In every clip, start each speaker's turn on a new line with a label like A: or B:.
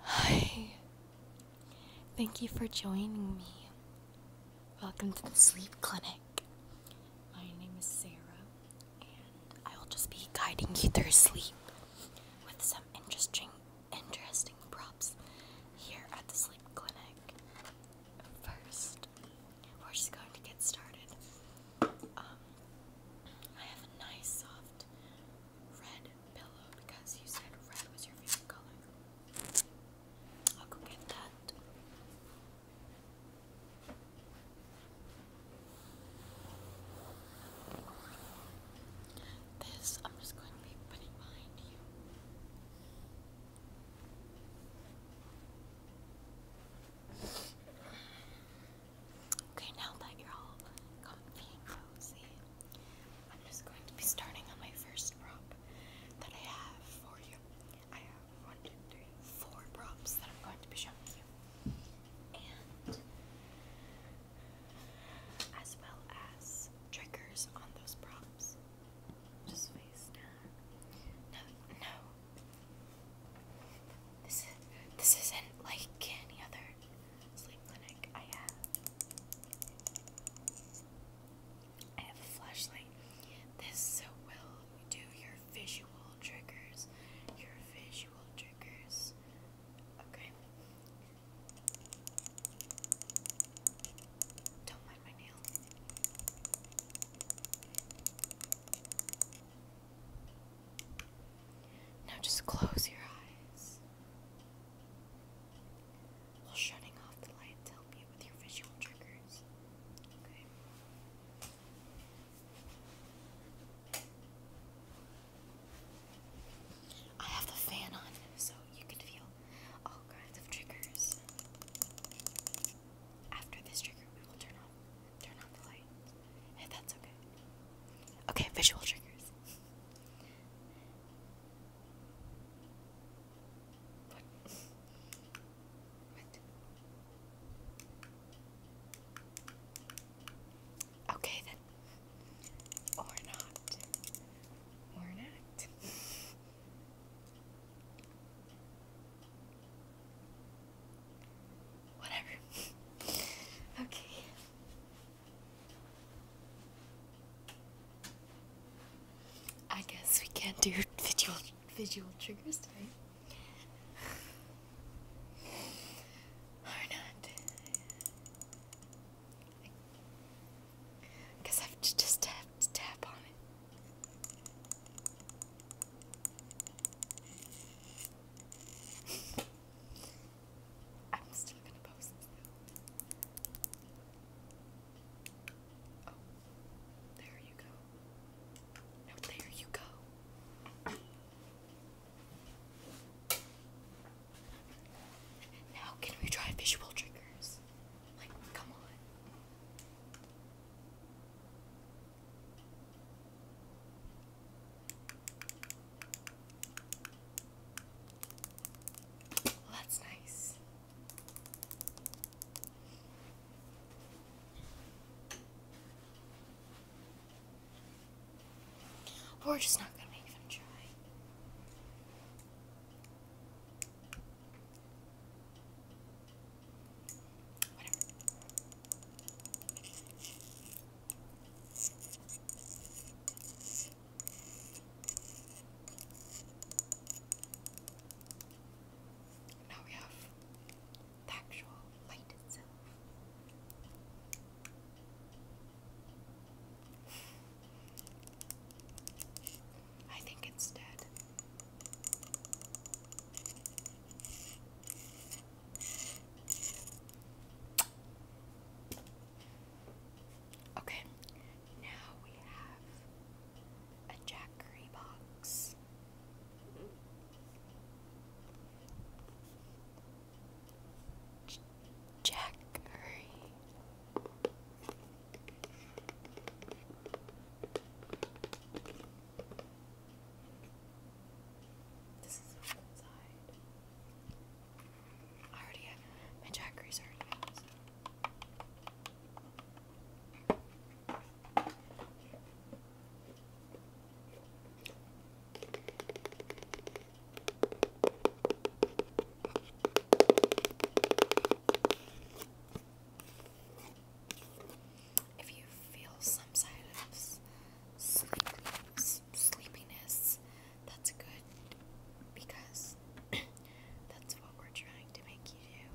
A: Hi. Thank you for joining me. Welcome to the sleep clinic. My name is Sarah, and I will just be guiding you through sleep with some interesting interesting props here at the sleep clinic. First, we're just going to get started um, I have a nice soft red pillow because you said red was your favorite color. I'll go get that. This I'm just going to be putting behind you. Okay, now that you're all comfy and cozy, I'm just going to be starting on my first prop that I have for you. I have one, two, three, four props that I'm going to be showing you. And as well as triggers on those props. Just face down. No, no, this is this isn't like any other sleep clinic I have. I have a flashlight. This will do your visual triggers. Your visual triggers. Okay. Don't mind my nail. Now just close your eyes. While shutting off the light to help with your visual triggers. Okay. I have the fan on so you can feel all kinds of triggers. After this trigger, we will turn off Turn on the light. Hey, that's okay. Okay, visual triggers. What? What? Okay then. Or not. Or not. Whatever. okay. I guess we can't do visual visual triggers today. or not. I I have just tap tap on it. I'm still gonna post Oh, there you go. No, there you go. Now, can we try visual triggers? Like, come on. Oh, that's nice. We're just not gonna make them try. Whatever. Now we have the actual light itself. I think it's dead. Okay, now we have a Jackery box. Jackery. This is the one side. I already have my Jackeries already out. So. If you feel some side of sleepiness, that's good because that's what we're trying to make you do.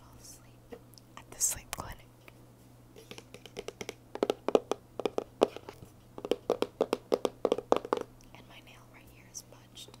A: Fall asleep at the sleep clinic. And my nail right here is punched.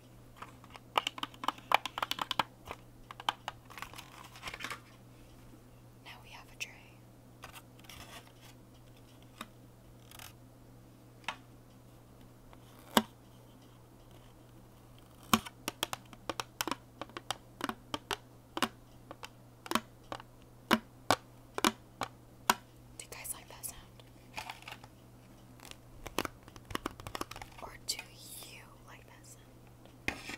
A: Now we have a tray. Do you guys like that sound? Or do you like that sound?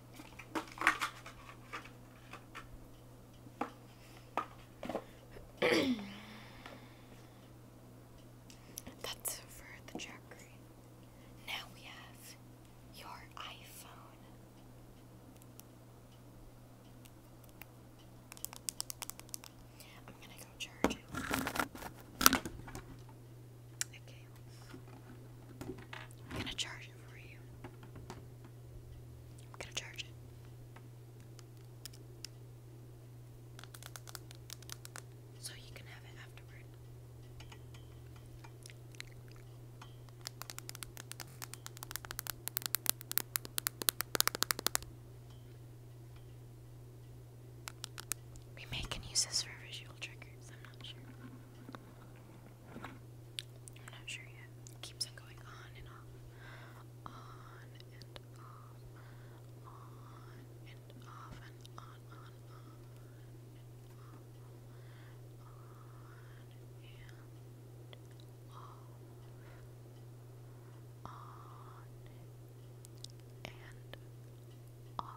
A: That's for the jackery. Now we have your iPhone. I'm gonna go charge it. Okay. I'm gonna charge it for you. I'm gonna charge it. So you can have it afterward. We may can use this for visual triggers, I'm not sure. I'm not sure yet. keeps on going on and off. On and off. On and off and on, on, On and off. On and off.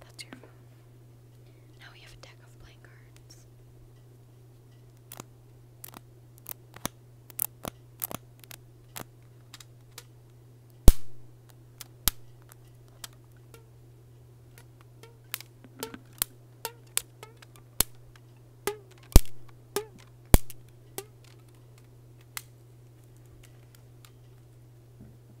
A: That's your phone. Now we have a deck of playing cards. Sorry.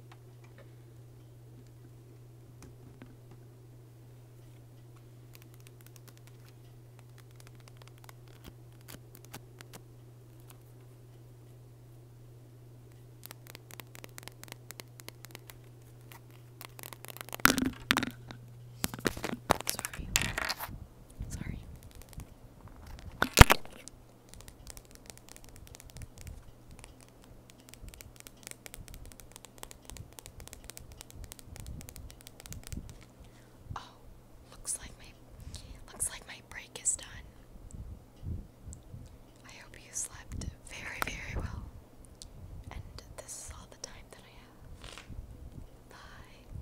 A: Sorry. Oh, looks like my looks like my break is done. I hope you slept very, very well. And this is all the time that I have. Bye.